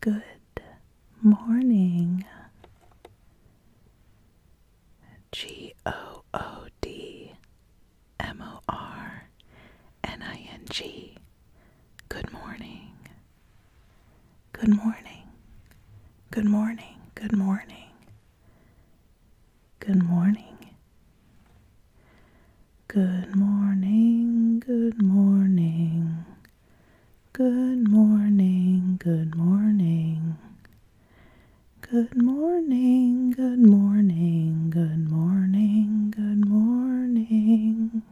Good morning. G O O D M O R N I N G. Good morning. Good morning. Good morning. Good morning. Good morning. Good morning, good morning. Good morning, good morning. Good morning, good morning, good morning, good morning.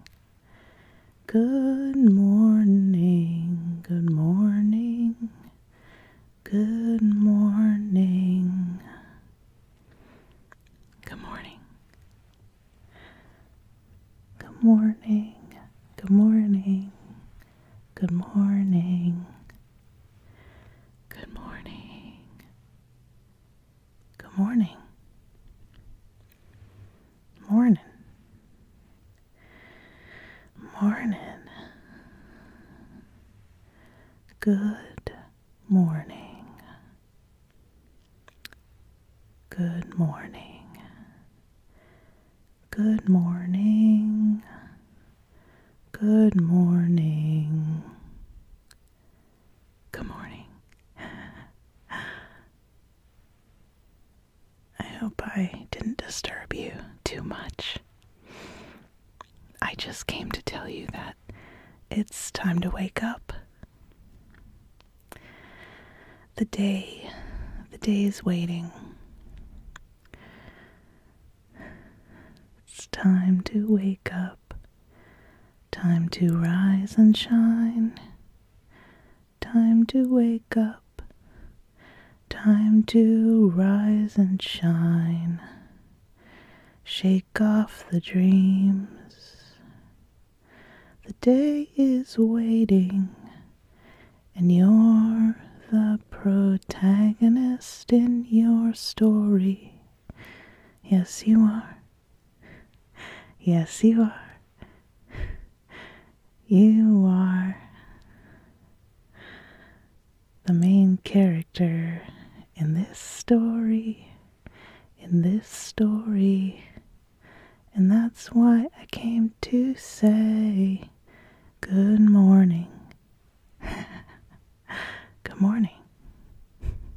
Good morning, good morning, good morning. Good morning. Good morning. Good morning. Good morning. Good morning. Morning. Morning. Good morning. Good morning. Good morning. Good morning. Good morning. I hope I didn't disturb you too much. I just came to tell you that it's time to wake up. The day, the day is waiting. It's time to wake up, time to rise and shine, time to wake up, time to rise and shine. Shake off the dreams, the day is waiting, and you're the protagonist in your story. Yes, you are. Yes, you are. You are the main character in this story. In this story, and that's why I came to say good morning. good morning.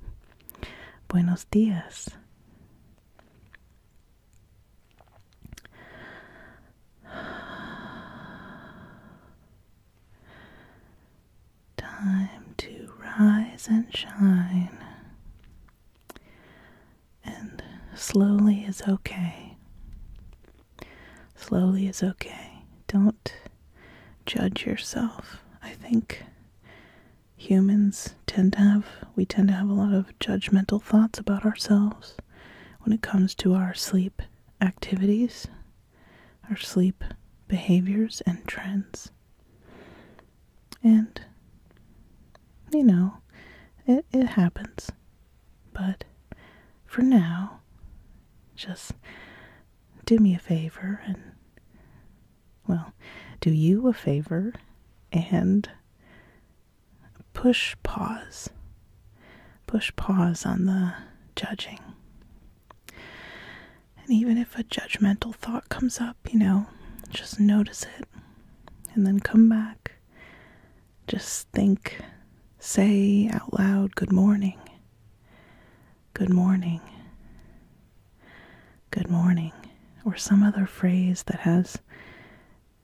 Buenos dias. Time to rise and shine. And slowly is okay. Slowly is okay. Don't judge yourself. I think humans tend to have we tend to have a lot of judgmental thoughts about ourselves when it comes to our sleep activities, our sleep behaviors and trends. And, you know, it, happens. But for now, just do me a favor and, well, do you a favor and push pause. Push pause on the judging. And even if a judgmental thought comes up, you know, just notice it and then come back. Just think, say out loud, Good morning. Good morning. Good morning. Or some other phrase that has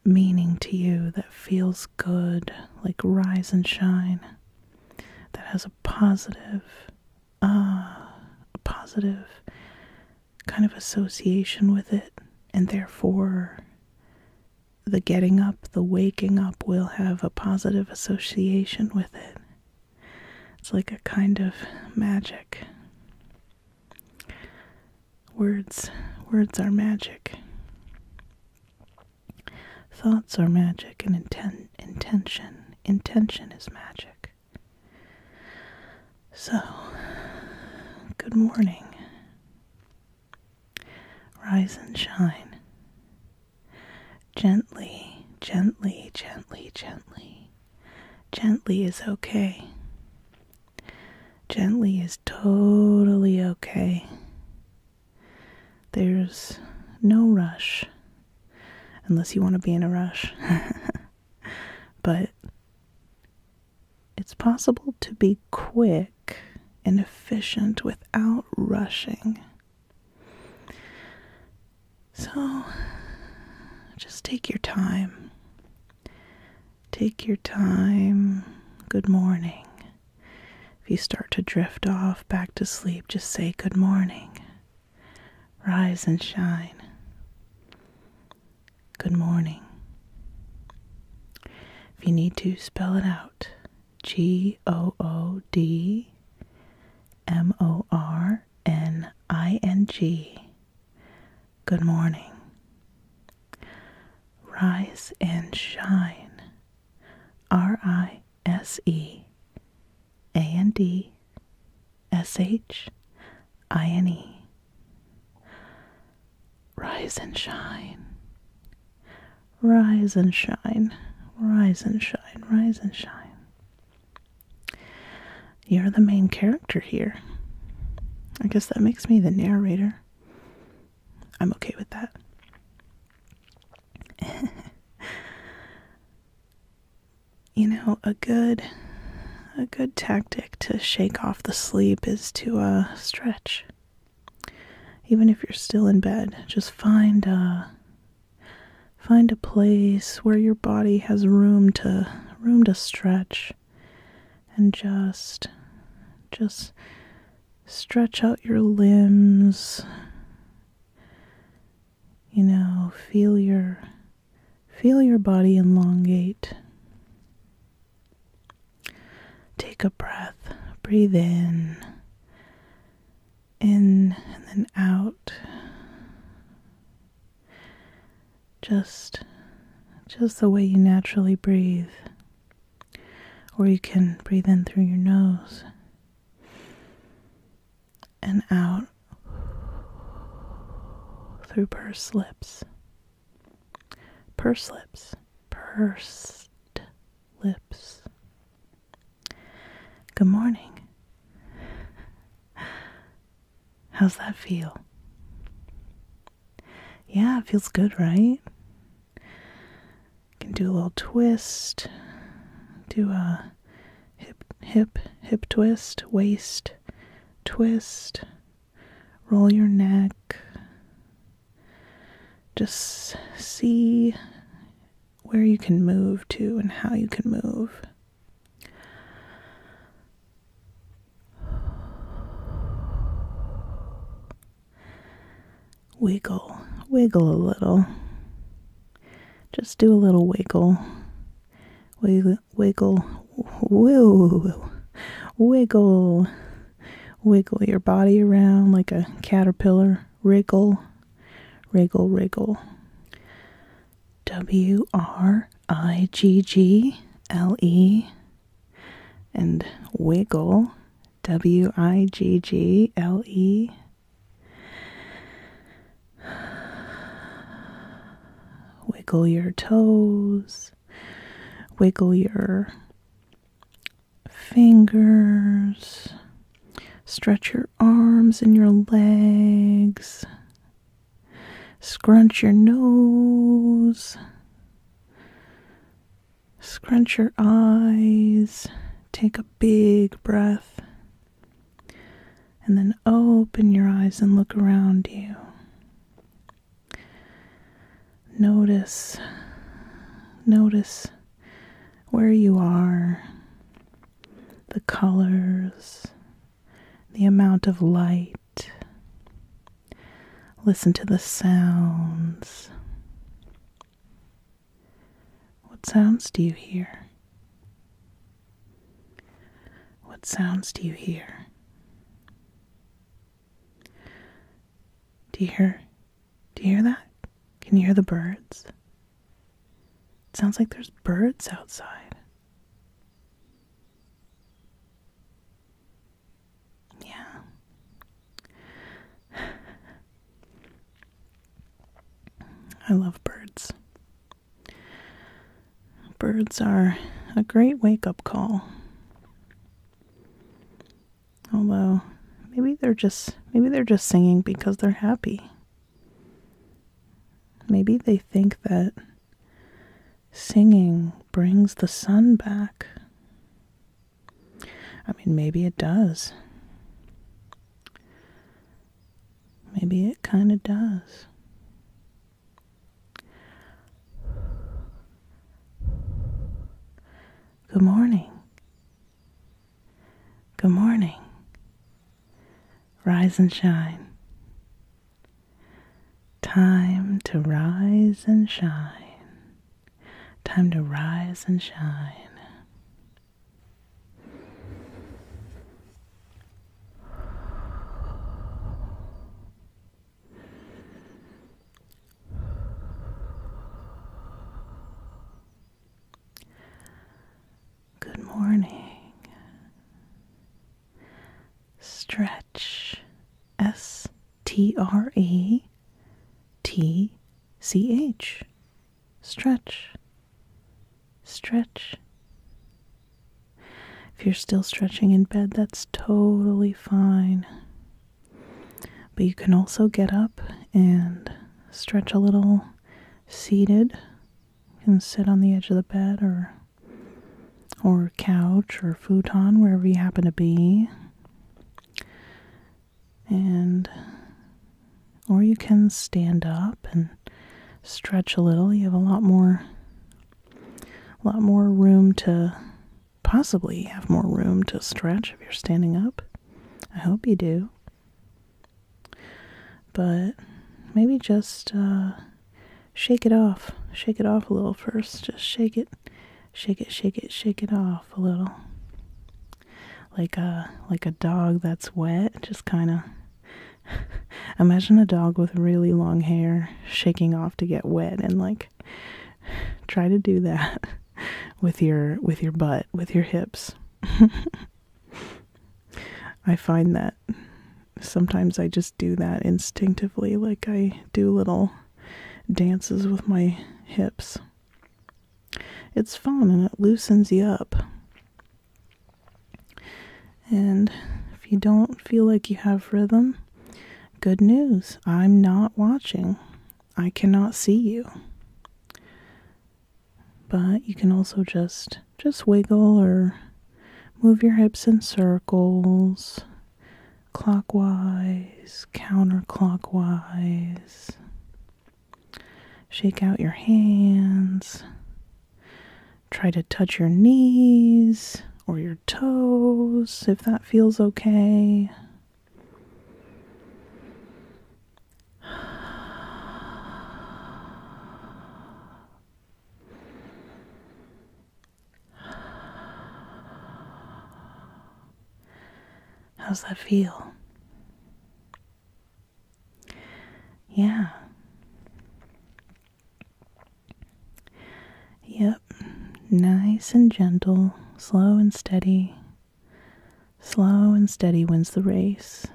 meaning to you, that feels good, like rise and shine, that has a positive, ah, a positive kind of association with it, and therefore the getting up, the waking up will have a positive association with it. It's like a kind of magic. Words words are magic. Thoughts are magic and intention intention is magic. So, good morning. Rise and shine. Gently, gently, gently, gently. Gently is okay. Gently is totally okay. There's no rush. Unless you want to be in a rush. but it's possible to be quick and efficient without rushing. So just take your time. Take your time. Good morning. If you start to drift off back to sleep, just say good morning. Rise and shine. Good morning. If you need to, spell it out G O O D M O R N I N G. Good morning. Rise and shine. R I S E a and A N D S H I N E. Rise and shine. Rise and shine. Rise and shine. Rise and shine. You're the main character here. I guess that makes me the narrator. I'm okay with that. you know, a good a good tactic to shake off the sleep is to uh stretch. Even if you're still in bed, just find uh find a place where your body has room to room to stretch and just just stretch out your limbs. You know, feel your Feel your body elongate. Take a breath. Breathe in, in, and then out. Just, just the way you naturally breathe. Or you can breathe in through your nose and out through pursed lips. Pursed lips. Pursed lips. Good morning. How's that feel? Yeah, it feels good, right? Can do a little twist, do a hip, hip, hip twist, waist, twist, roll your neck. Just see where you can move to and how you can move. Wiggle, wiggle a little. Just do a little wiggle wiggle, wiggle, woo, wiggle, wiggle your body around like a caterpillar. Wiggle, wiggle, wiggle. W R I G G L E and wiggle. W I G G L E. Wiggle your toes, wiggle your fingers, stretch your arms and your legs, scrunch your nose, scrunch your eyes, take a big breath. And then open your eyes and look around you. Notice, notice where you are, the colors, the amount of light. Listen to the sounds. What sounds do you hear? What sounds do you hear? Do you hear do you hear that? Can you hear the birds? It sounds like there's birds outside. Yeah. I love birds. Birds are a great wake up call. Although maybe they're just maybe they're just singing because they're happy. Maybe they think that singing brings the sun back. I mean, maybe it does. Maybe it kind of does. Good morning. Good morning. Rise and shine. Time to rise and shine. Time to rise and shine. Good morning. Stretch S T R E T C H. Stretch. Stretch. If you're still stretching in bed, that's totally fine. But you can also get up and stretch a little seated. You can sit on the edge of the bed or or couch or futon wherever you happen to be. And or you can stand up and stretch a little, you have a lot more a lot more room to possibly have more room to stretch if you're standing up. I hope you do. But maybe just uh, shake it off. Shake it off a little first. Just shake it. Shake it, shake it, shake it off a little. Like a like a dog that's wet, just kind of Imagine a dog with really long hair shaking off to get wet and like try to do that with your with your butt, with your hips. I find that sometimes I just do that instinctively like I do little dances with my hips. It's fun and it loosens you up. And if you don't feel like you have rhythm, good news, I'm not watching. I cannot see you. But you can also just just wiggle or move your hips in circles, clockwise, counterclockwise. Shake out your hands. Try to touch your knees or your toes if that feels okay. How's that feel? Yeah. Yep, nice and gentle, slow and steady. Slow and steady wins the race.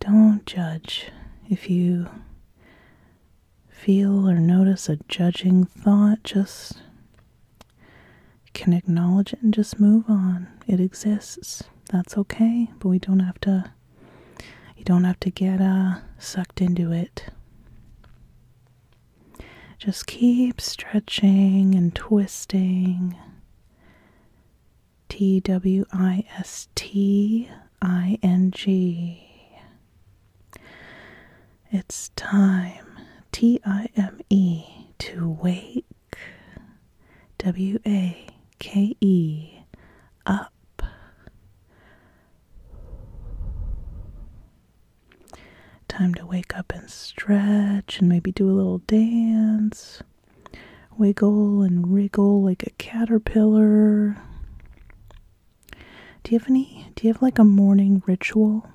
Don't judge. If you feel or notice a judging thought, just can acknowledge it and just move on. It exists. That's okay, but we don't have to you don't have to get uh, sucked into it. Just keep stretching and twisting. T W I S T I N G. It's time, T I M E, to wake W A K E up. Time to wake up and stretch and maybe do a little dance. Wiggle and wriggle like a caterpillar. Do you have any? Do you have like a morning ritual?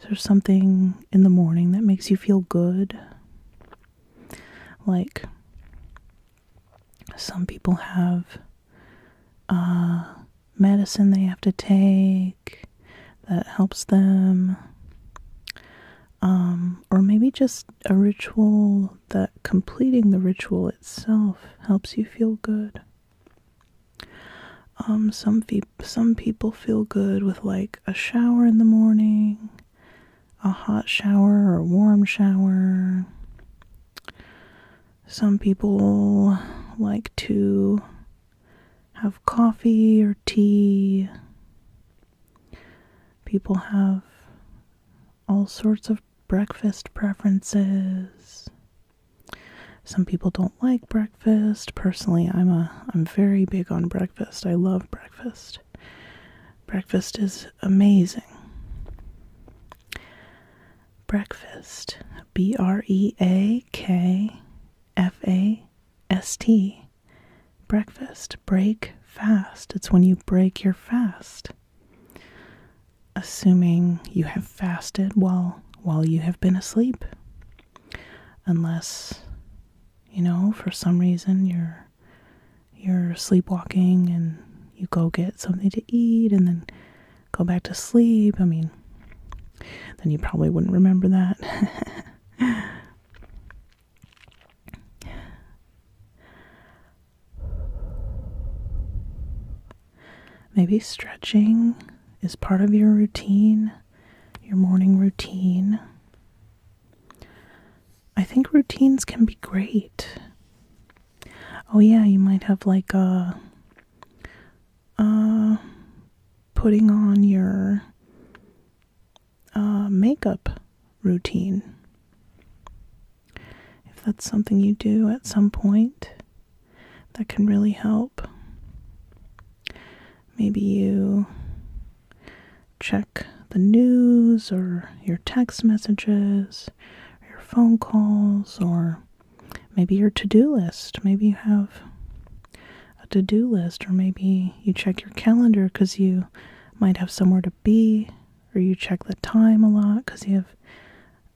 Is there something in the morning that makes you feel good? Like, some people have uh, medicine they have to take that helps them. Um, or maybe just a ritual that completing the ritual itself helps you feel good. Um, some some people feel good with like a shower in the morning, a hot shower or a warm shower. Some people like to have coffee or tea. People have all sorts of breakfast preferences. Some people don't like breakfast. Personally, I'm a I'm very big on breakfast. I love breakfast breakfast. is amazing. Breakfast. B R E A K F A S T. Breakfast. Break fast. It's when you break your fast. Assuming you have fasted while while you have been asleep. Unless you know, for some reason you're you're sleepwalking and you go get something to eat and then go back to sleep. I mean, then you probably wouldn't remember that. Maybe stretching is part of your routine, your morning routine. I think routines can be great. Oh yeah, you might have like a uh, uh putting on your uh, makeup routine. If that's something you do at some point, that can really help. Maybe you check the news or your text messages, your phone calls, or maybe your to do list. Maybe you have a to do list, or maybe you check your calendar because you might have somewhere to be, or you check the time a lot because you have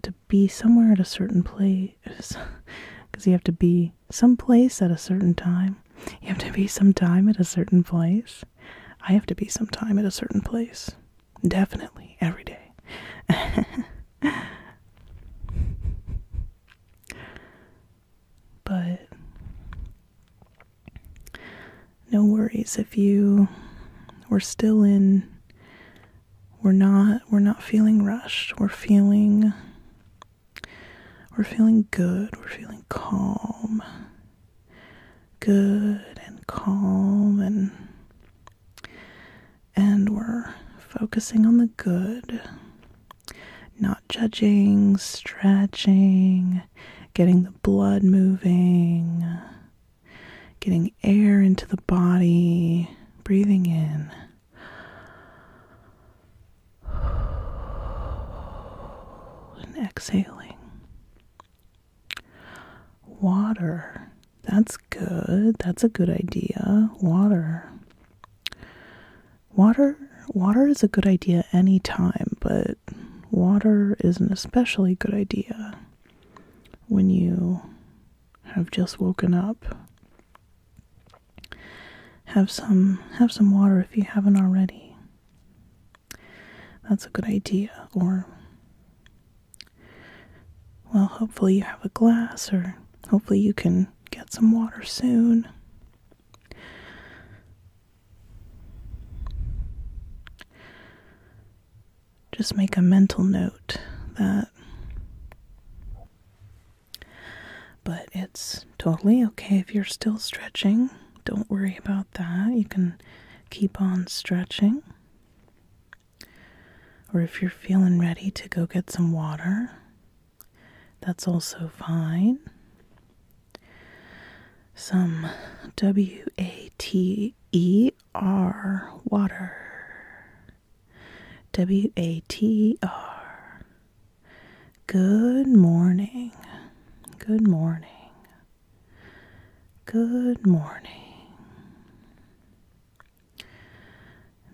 to be somewhere at a certain place. Because you have to be someplace at a certain time. You have to be some time at a certain place. I have to be sometime at a certain place. Definitely, every day. but no worries if you we're still in we're not we're not feeling rushed. We're feeling we're feeling good. We're feeling calm good and calm and and we're focusing on the good not judging stretching getting the blood moving getting air into the body breathing in and exhaling Water. That's good. That's a good idea. Water. Water water is a good idea any time, but water is an especially good idea when you have just woken up. Have some have some water if you haven't already. That's a good idea. Or, well, hopefully you have a glass, or hopefully you can get some water soon. Just make a mental note that. But it's totally okay if you're still stretching. Don't worry about that. You can keep on stretching. Or if you're feeling ready to go get some water, that's also fine. Some W A T E R water. W A T R. Good morning. Good morning. Good morning.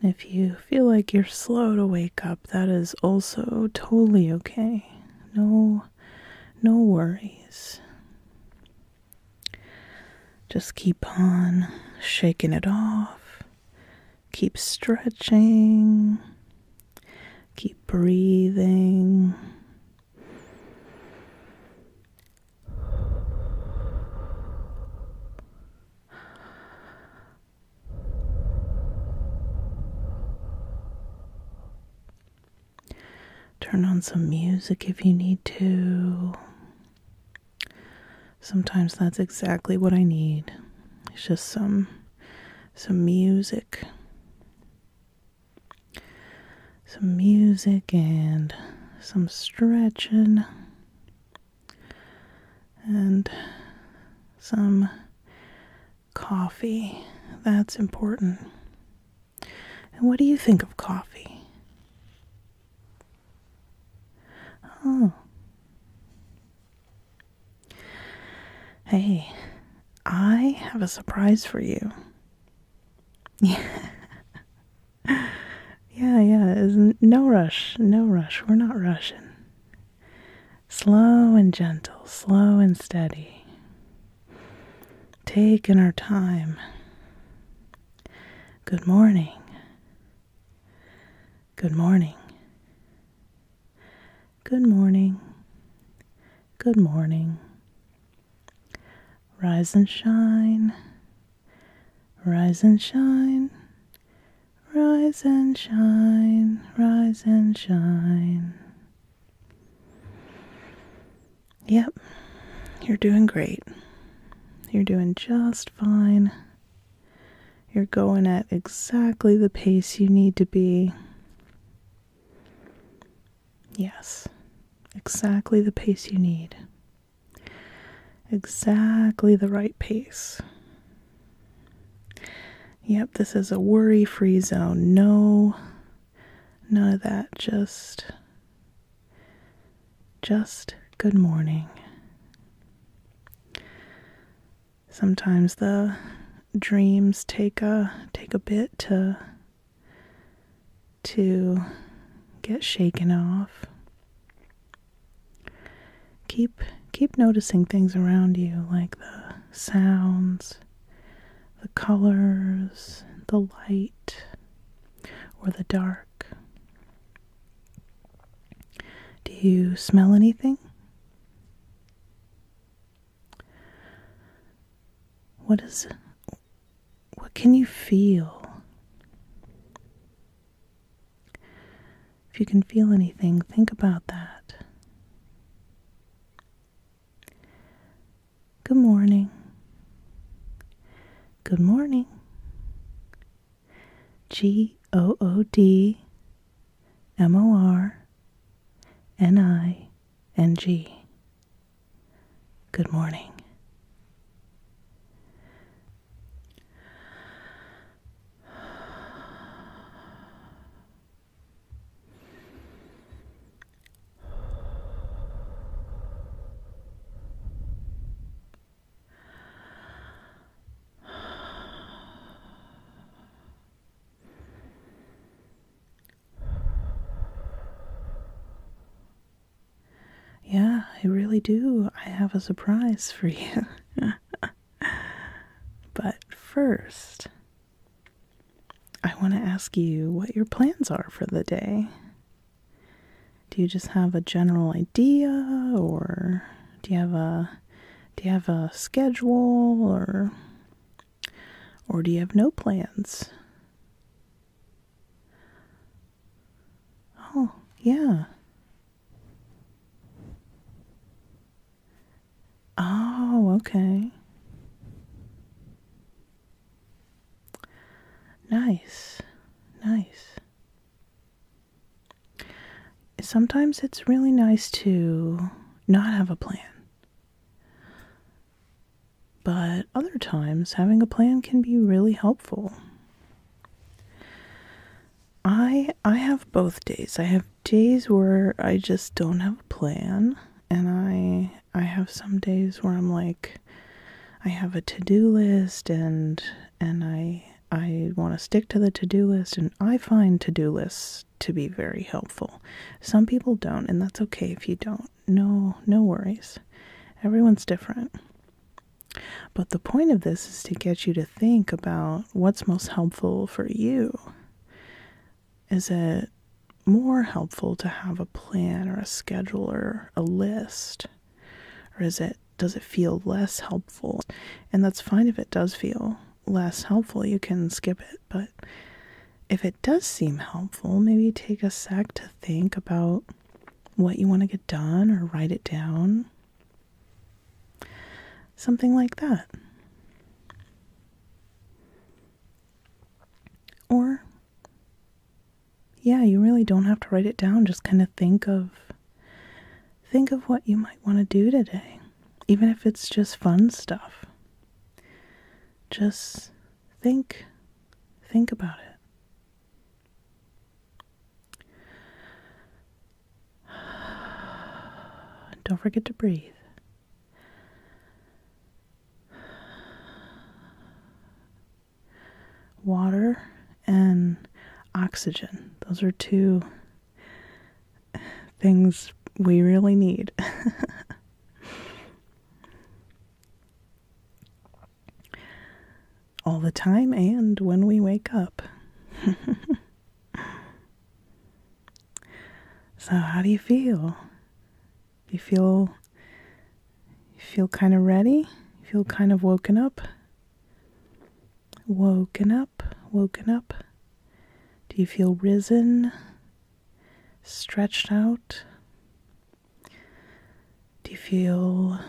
And if you feel like you're slow to wake up, that is also totally okay. No no worries. Just keep on shaking it off. Keep stretching. Keep breathing. Turn on some music if you need to. Sometimes that's exactly what I need. It's just some some music some music and some stretching and some coffee. That's important. And what do you think of coffee? Oh. Hey, I have a surprise for you. Yeah. yeah, yeah. Isn't no rush, no rush. We're not rushing. Slow and gentle, slow and steady. Taking our time. Good morning. Good morning. Good morning. Good morning. Rise and shine. Rise and shine. Rise and shine. Rise and shine. Yep, you're doing great. You're doing just fine. You're going at exactly the pace you need to be. Yes, exactly the pace you need. Exactly the right pace. Yep, this is a worry free zone. No, none of that. Just, just good morning. Sometimes the dreams take a take a bit to to get shaken off. Keep keep noticing things around you like the sounds, the colors, the light or the dark. Do you smell anything? What is what can you feel? If you can feel anything, think about that. Good morning. Good morning. G O O D M O R N I and G. Good morning. Yeah, I really do. I have a surprise for you. but first, I want to ask you what your plans are for the day. Do you just have a general idea or do you have a do you have a schedule or or do you have no plans? Oh, yeah. Oh, okay. Nice. Nice. Sometimes it's really nice to not have a plan. But other times, having a plan can be really helpful. I I have both days. I have days where I just don't have a plan and I I have some days where I'm like I have a to-do list and and I I want to stick to the to-do list and I find to-do lists to be very helpful. Some people don't, and that's okay if you don't. No, no worries. Everyone's different. But the point of this is to get you to think about what's most helpful for you. Is it more helpful to have a plan or a schedule or a list? Or is it does it feel less helpful? And that's fine if it does feel less helpful, you can skip it. But if it does seem helpful, maybe take a sec to think about what you want to get done or write it down. Something like that. Or, yeah, you really don't have to write it down. Just kind of think of think of what you might want to do today even if it's just fun stuff just think think about it. Don't forget to breathe. Water and oxygen. Those are two things we really need. All the time and when we wake up. so how do you feel? You feel you feel kind of ready? You feel kind of woken up? Woken up, woken up. Do you feel risen? stretched out? Do you feel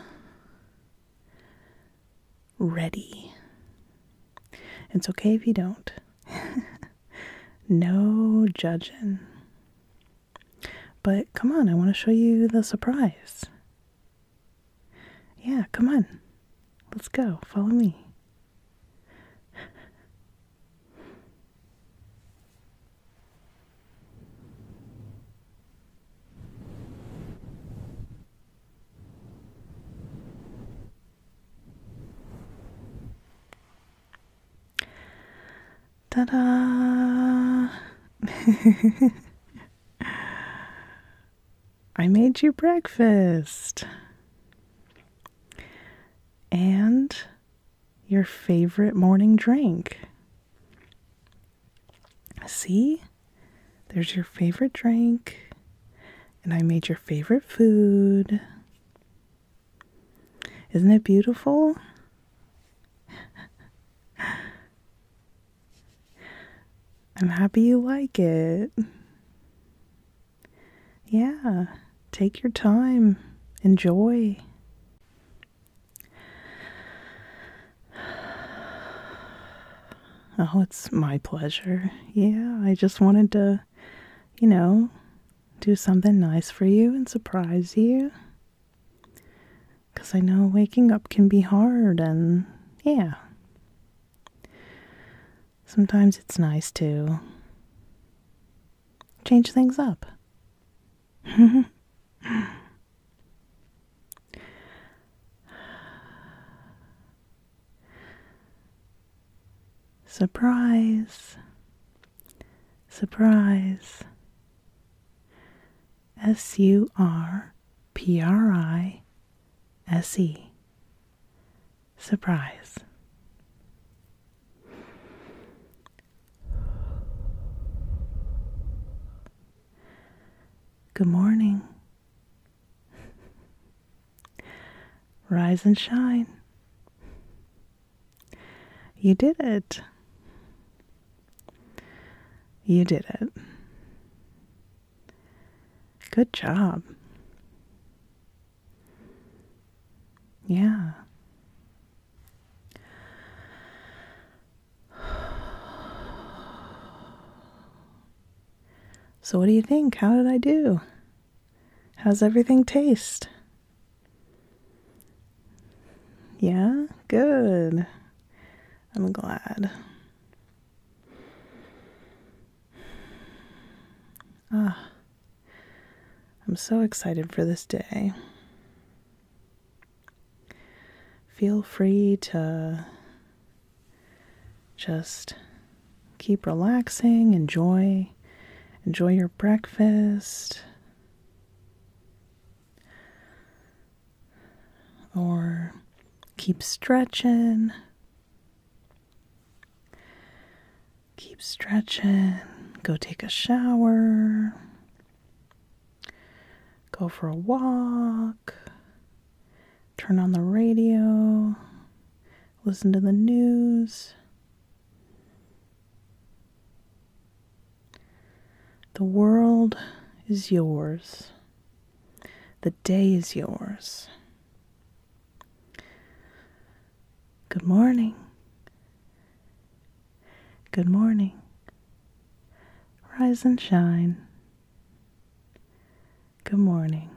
ready? It's okay if you don't. no judging. But come on, I want to show you the surprise. Yeah, come on. Let's go. Follow me. Ta da! I made you breakfast and your favorite morning drink. See? There's your favorite drink, and I made your favorite food. Isn't it beautiful? I'm happy you like it. Yeah, take your time, enjoy. Oh, it's my pleasure. Yeah, I just wanted to, you know, do something nice for you and surprise you. Because I know waking up can be hard and, yeah sometimes it's nice to change things up. surprise, surprise. S U R P R I S E surprise. Good morning. Rise and shine. You did it. You did it. Good job. Yeah. So, what do you think? How did I do? How's everything taste? Yeah, good. I'm glad. Ah, I'm so excited for this day. Feel free to just keep relaxing, enjoy enjoy your breakfast or keep stretching Keep stretching. Go take a shower. Go for a walk. Turn on the radio. Listen to the news. The world is yours. The day is yours. Good morning. Good morning. Rise and shine. Good morning.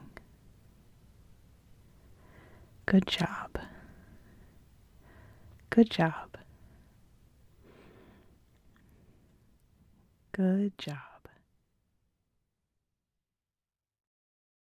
Good job. Good job. Good job.